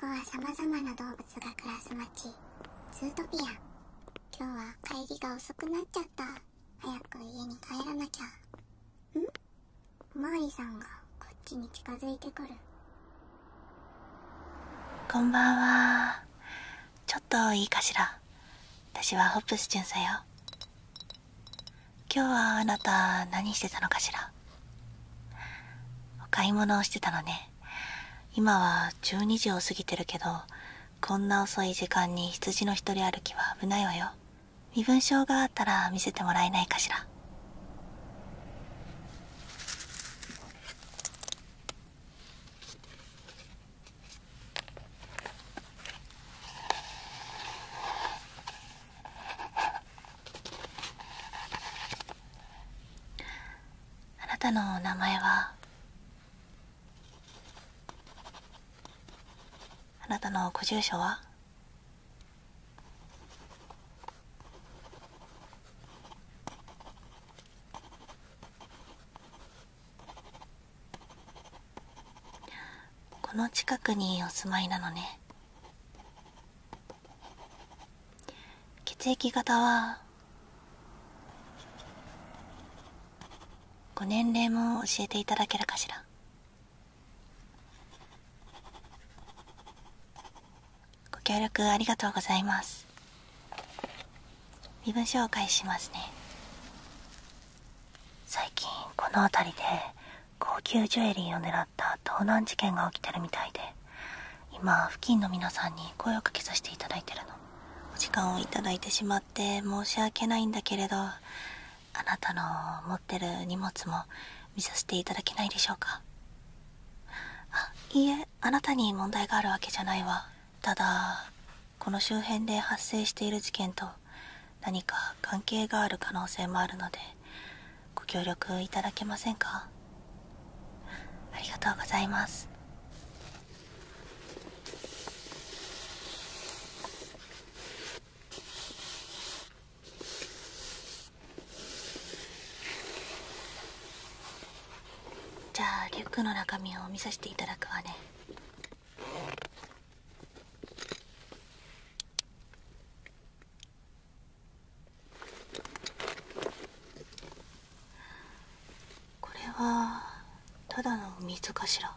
ここは様々な動物が暮らす街ツートピア今日は帰りが遅くなっちゃった早く家に帰らなきゃんお巡りさんがこっちに近づいてくるこんばんはちょっといいかしら私はホップス巡さよ今日はあなた何してたのかしらお買い物をしてたのね今は12時を過ぎてるけどこんな遅い時間に羊の一人歩きは危ないわよ身分証があったら見せてもらえないかしらあなたのお名前はあなたのご住所はこの近くにお住まいなのね血液型はご年齢も教えていただけるかしらご協力ありがとうございます身分紹介しますね最近この辺りで高級ジュエリーを狙た盗難事件が起きてるみたいで今付近の皆さんに声をかけさせていただいてるのお時間をいただいてしまって申し訳ないんだけれどあなたの持ってる荷物も見させていただけないでしょうかあいいえあなたに問題があるわけじゃないわただこの周辺で発生している事件と何か関係がある可能性もあるのでご協力いただけませんかありがとうございますじゃあリュックの中身を見させていただくわねこれはただの水かしら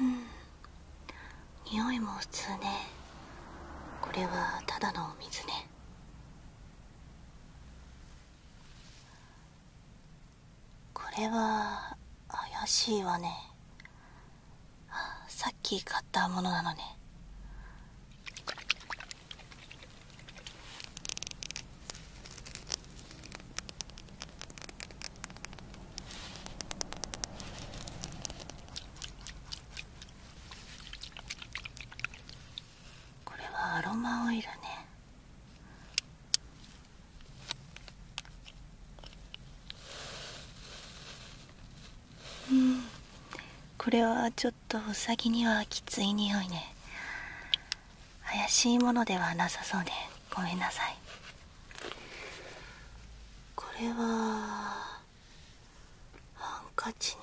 うん匂いも普通ねこれはただのお水ねこれは怪しいわねさっき買ったものなのねこれはアロマオイルねうんこれはちょっとウサギにはきつい匂いね怪しいものではなさそうでごめんなさいこれはハンカチね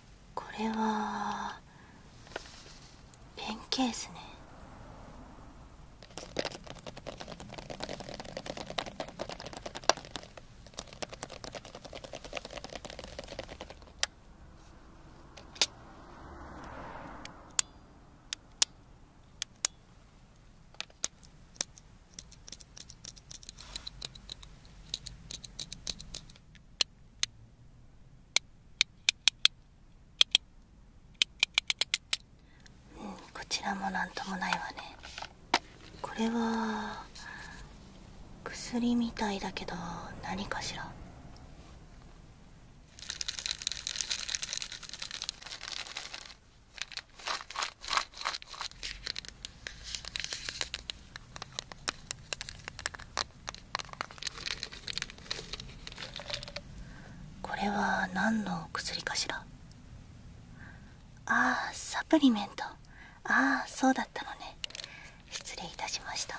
これはペンケースねうんこちらも何ともないわねこれは薬みたいだけど何かしらこれは何の薬かしらああサプリメントああそうだったのね失礼いたしました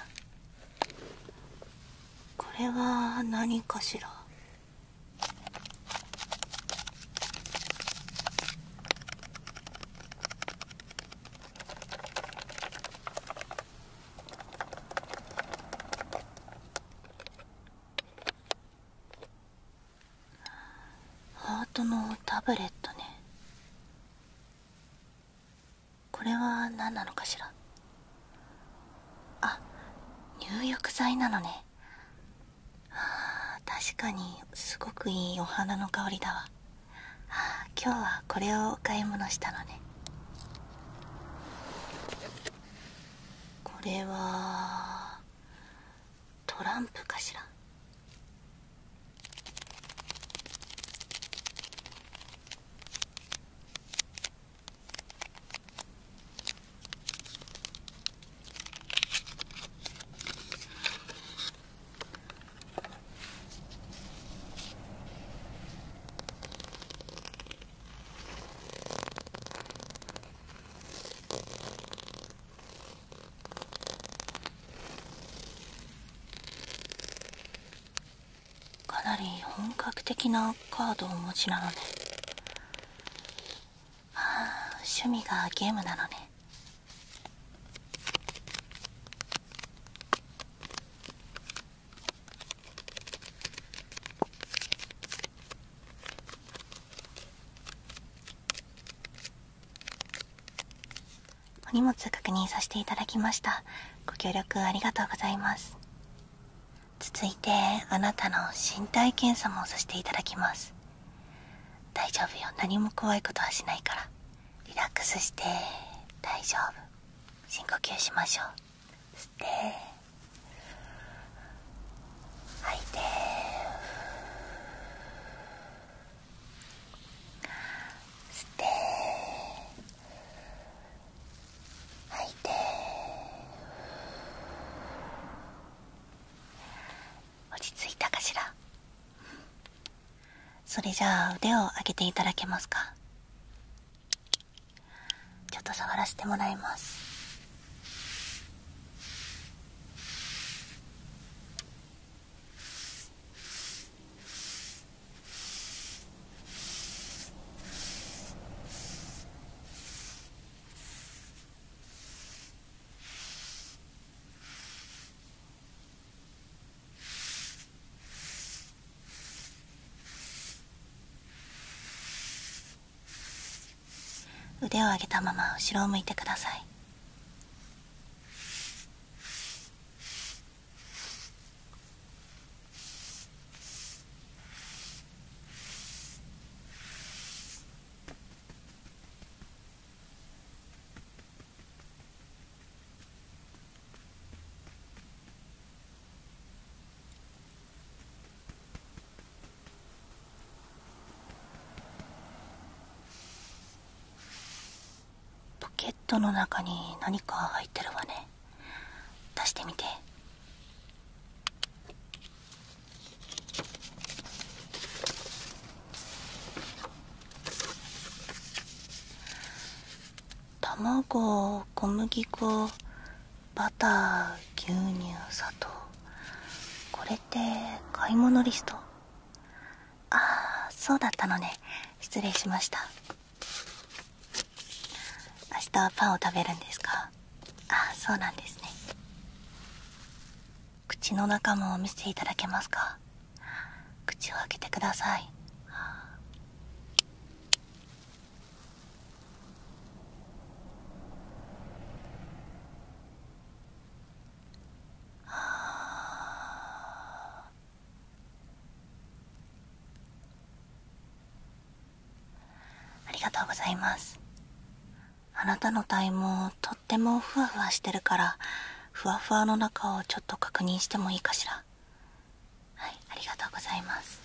これは何かしらハートのタブレットねこれは何なのかしらあ入浴剤なのねはあ確かにすごくいいお花の香りだわ今日はこれをお買い物したのねこれはトランプかしらかなり本格的なカードをお持ちなのであ趣味がゲームなのねお荷物確認させていただきましたご協力ありがとうございます続いてあなたの身体検査もさせていただきます大丈夫よ何も怖いことはしないからリラックスして大丈夫深呼吸しましょう吸って吐いて吸って吐いて落ち着いたかしらそれじゃあ腕を上げていただけますかちょっと触らせてもらいます 腕を上げたまま後ろを向いてくださいポケットの中に何か入ってるわね出してみて卵小麦粉バター牛乳砂糖これって買い物リストあそうだったのね失礼しました明日はパンを食べるんですかあそうなんですね口の中も見せていただけますか口を開けてくださいあありがとうございますあなたの体毛とってもふわふわしてるからふわふわの中をちょっと確認してもいいかしらはいありがとうございます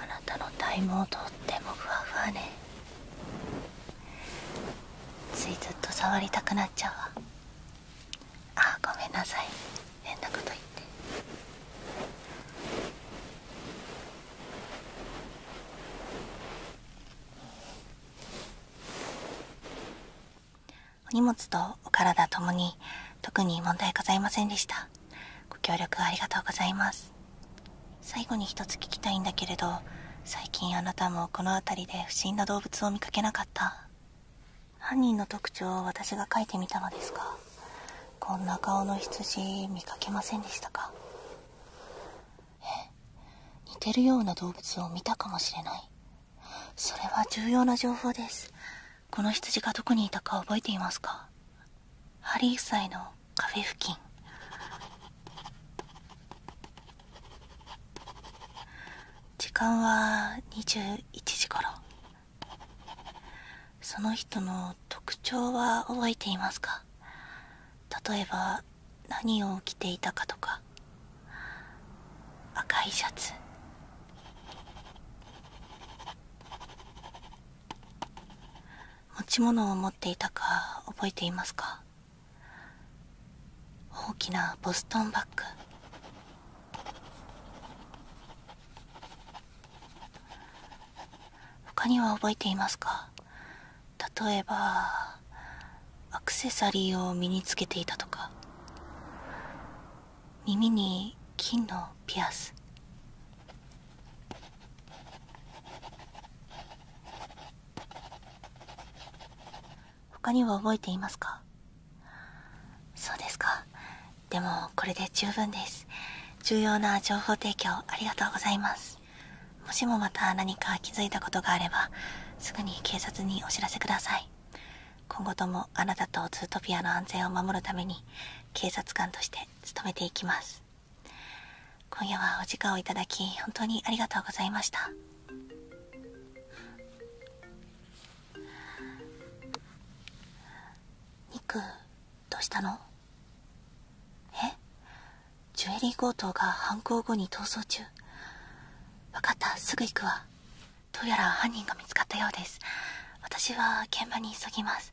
あなたの体毛とってもふわふわねついずっと触りたくなっちゃうわあごめんなさい変なこと言ってお荷物とお体ともに特に問題ございませんでしたご協力ありがとうございます最後に一つ聞きたいんだけれど最近あなたもこの辺りで不審な動物を見かけなかった犯人の特徴を私が書いてみたのですがこんな顔の羊見かけませんでしたかえ似てるような動物を見たかもしれないそれは重要な情報ですこの羊がどこにいたか覚えていますかハリー夫妻のカフェ付近時間は21時頃その人の特徴は覚えていますか例えば何を着ていたかとか赤いシャツ持ち物を持っていたか覚えていますか大きなボストンバッグ他には覚えていますか例えばアクセサリーを身につけていたとか耳に金のピアス他には覚えていますかそうですかでもこれで十分です重要な情報提供ありがとうございますもしもまた何か気づいたことがあればすぐに警察にお知らせください今後ともあなたとツートピアの安全を守るために警察官として務めていきます今夜はお時間をいただき本当にありがとうございましたニクどうしたのえジュエリー強盗が犯行後に逃走中分かったすぐ行くわどうやら犯人が見つかったようです私は現場に急ぎます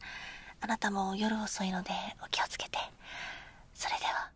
あなたも夜遅いのでお気をつけてそれでは